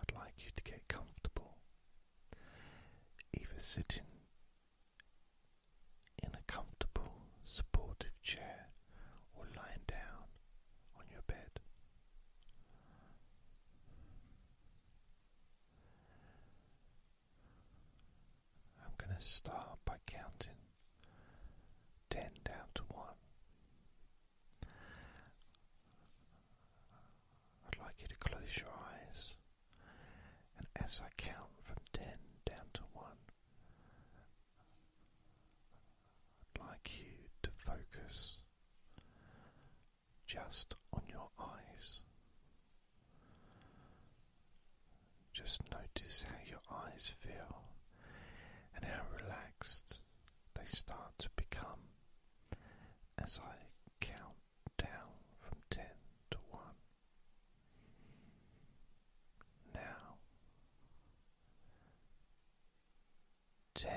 I'd like you to get comfortable, either sitting in a comfortable, supportive chair or lying down on your bed. I'm going to start by counting 10 down to 1. I'd like you to close your eyes, and as I count from ten down to one, I'd like you to focus just on your eyes. Just notice how your eyes feel and how relaxed they start to become as I count down from ten to one. Now ten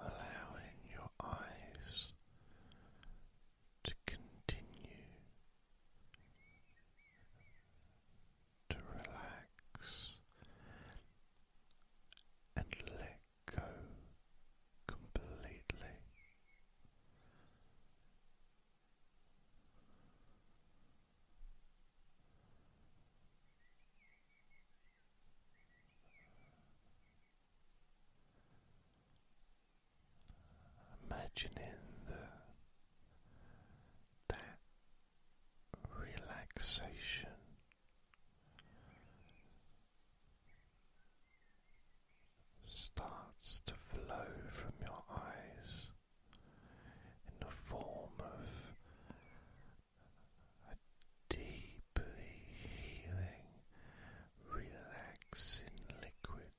Allowing your eyes to continue to relax and let go completely. Imagining the, that relaxation starts to flow from your eyes in the form of a deeply healing, relaxing liquid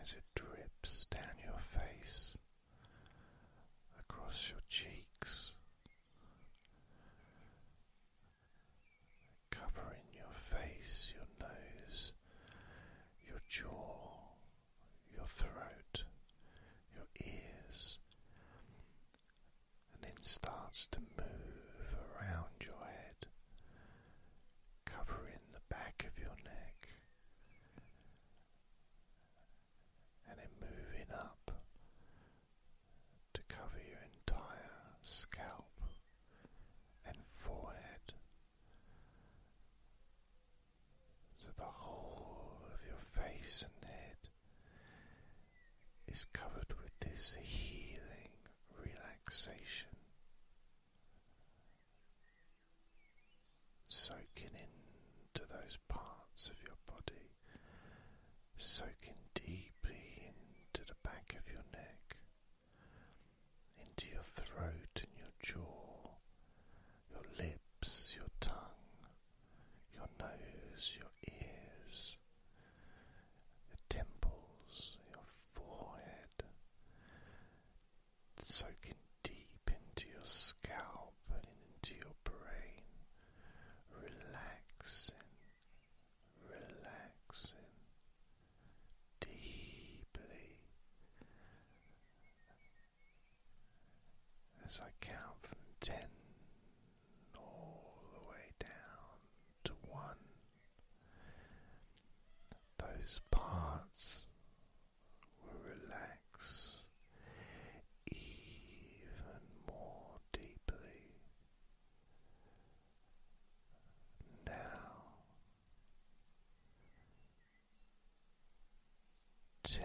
as it drips down your face, across your cheeks, covering your face, your nose, your jaw, your throat, your ears, and then starts to move around your head, covering the back of your neck, and then moving up to cover your entire scalp and forehead. So the whole of your face and head is covered with this healing relaxation. Soaking into those parts of your body, soaking deeply into the back of your neck, into your throat and your jaw, your lips, your tongue, your nose, your ears, the temples, your forehead, soaking deep into your scalp and into your brain, relaxing, relaxing deeply. As I count from ten all the way down to one. Those parts will relax even more deeply. Now, ten.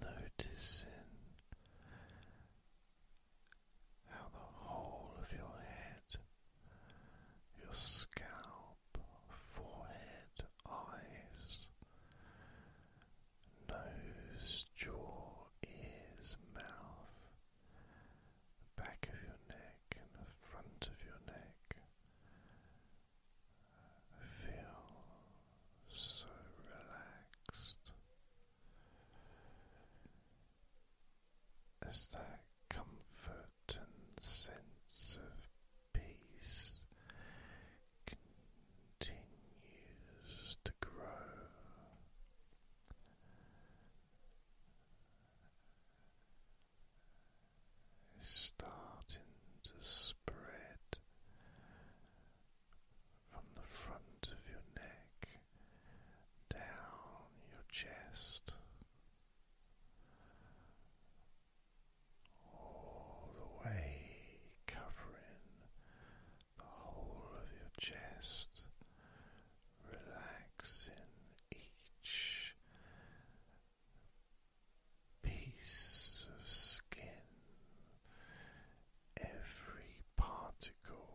Noticing how the whole of your head, your scalp, forehead, eyes, nose, jaw, ears, mouth, the back of your neck and the front of your neck. feel so relaxed as that comfort and sense of peace continues to grow is starting to spread from the front of your neck down your chest all the way covering the whole of your chest Relax in each piece of skin, every particle.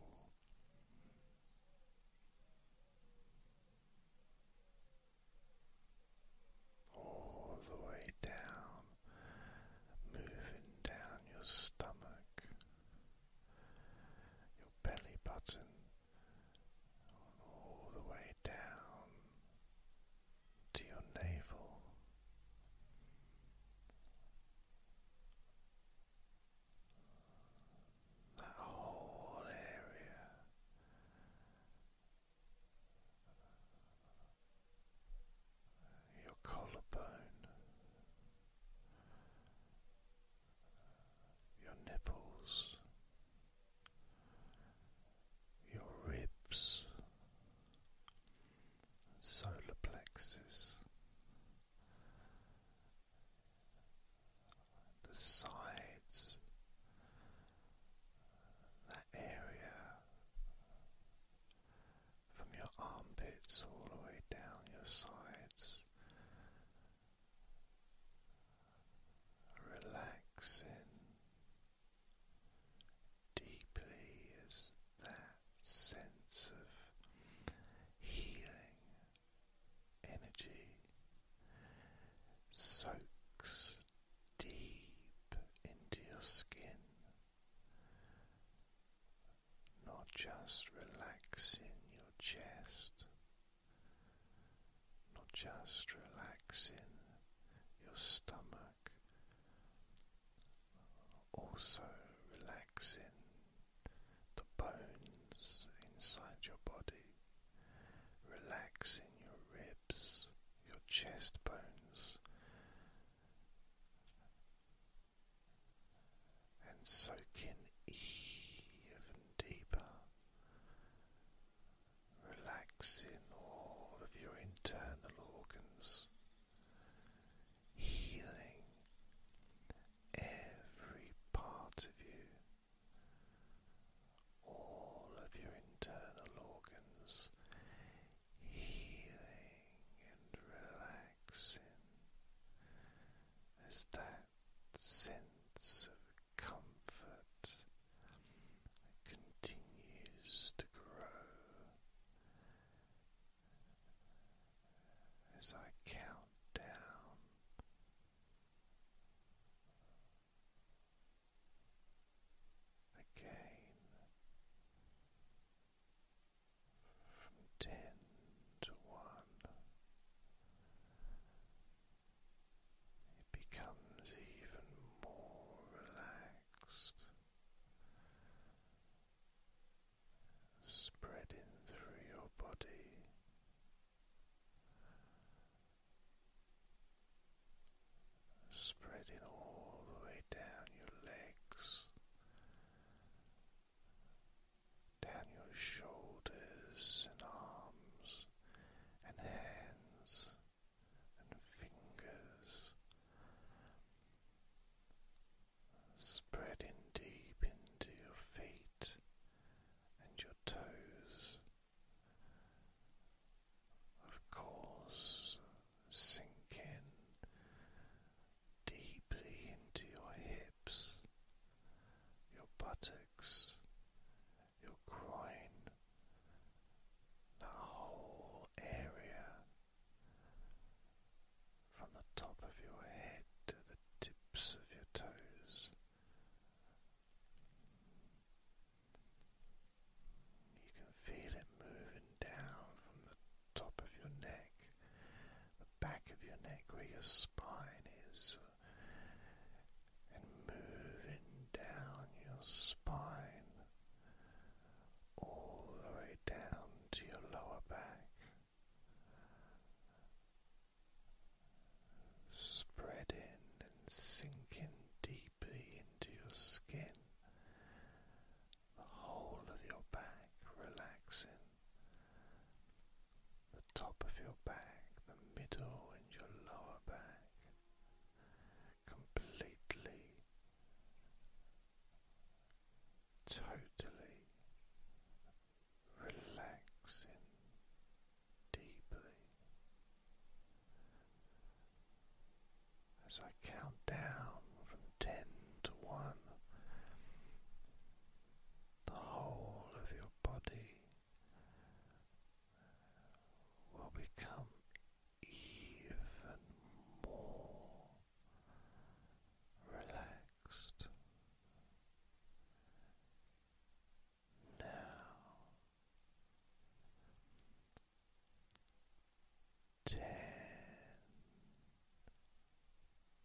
All the way down, moving down your stomach, your belly button, all the way down to your navel. That whole area your collarbone, your nipples, your ribs, solar plexus, the sides, that area from your armpits all the way down your sides relaxing deeply as that sense of healing energy soaks deep into your skin not just relaxing your chest, not just relaxing your stomach, also relaxing the bones inside your body, relaxing your ribs, your chest bones and soaking even deeper, relaxing all of your internal organs, healing every part of you. All of your internal organs healing and relaxing there's that sense of comfort continues to grow as I count down. Again, from ten to one, it becomes even more relaxed, spreading through your body. Spreading all the way down your legs down your shoulders and arms and hands and fingers, spreading deep into your feet and your toes. Of course, sinking deeply into your hips, your buttocks, your groin, that whole area from the top of your head to the tips of your toes. You can feel it moving down from the top of your neck, the back of your neck where your spine is, and moving down your spine all the way down to your lower back. Spreading and sinking deeply into your skin, the whole of your back relaxing the top of your back, the middle, and your lower back completely, totally relaxing deeply. As I count down from ten to one, the whole of your body will become even more relaxed. Now, ten.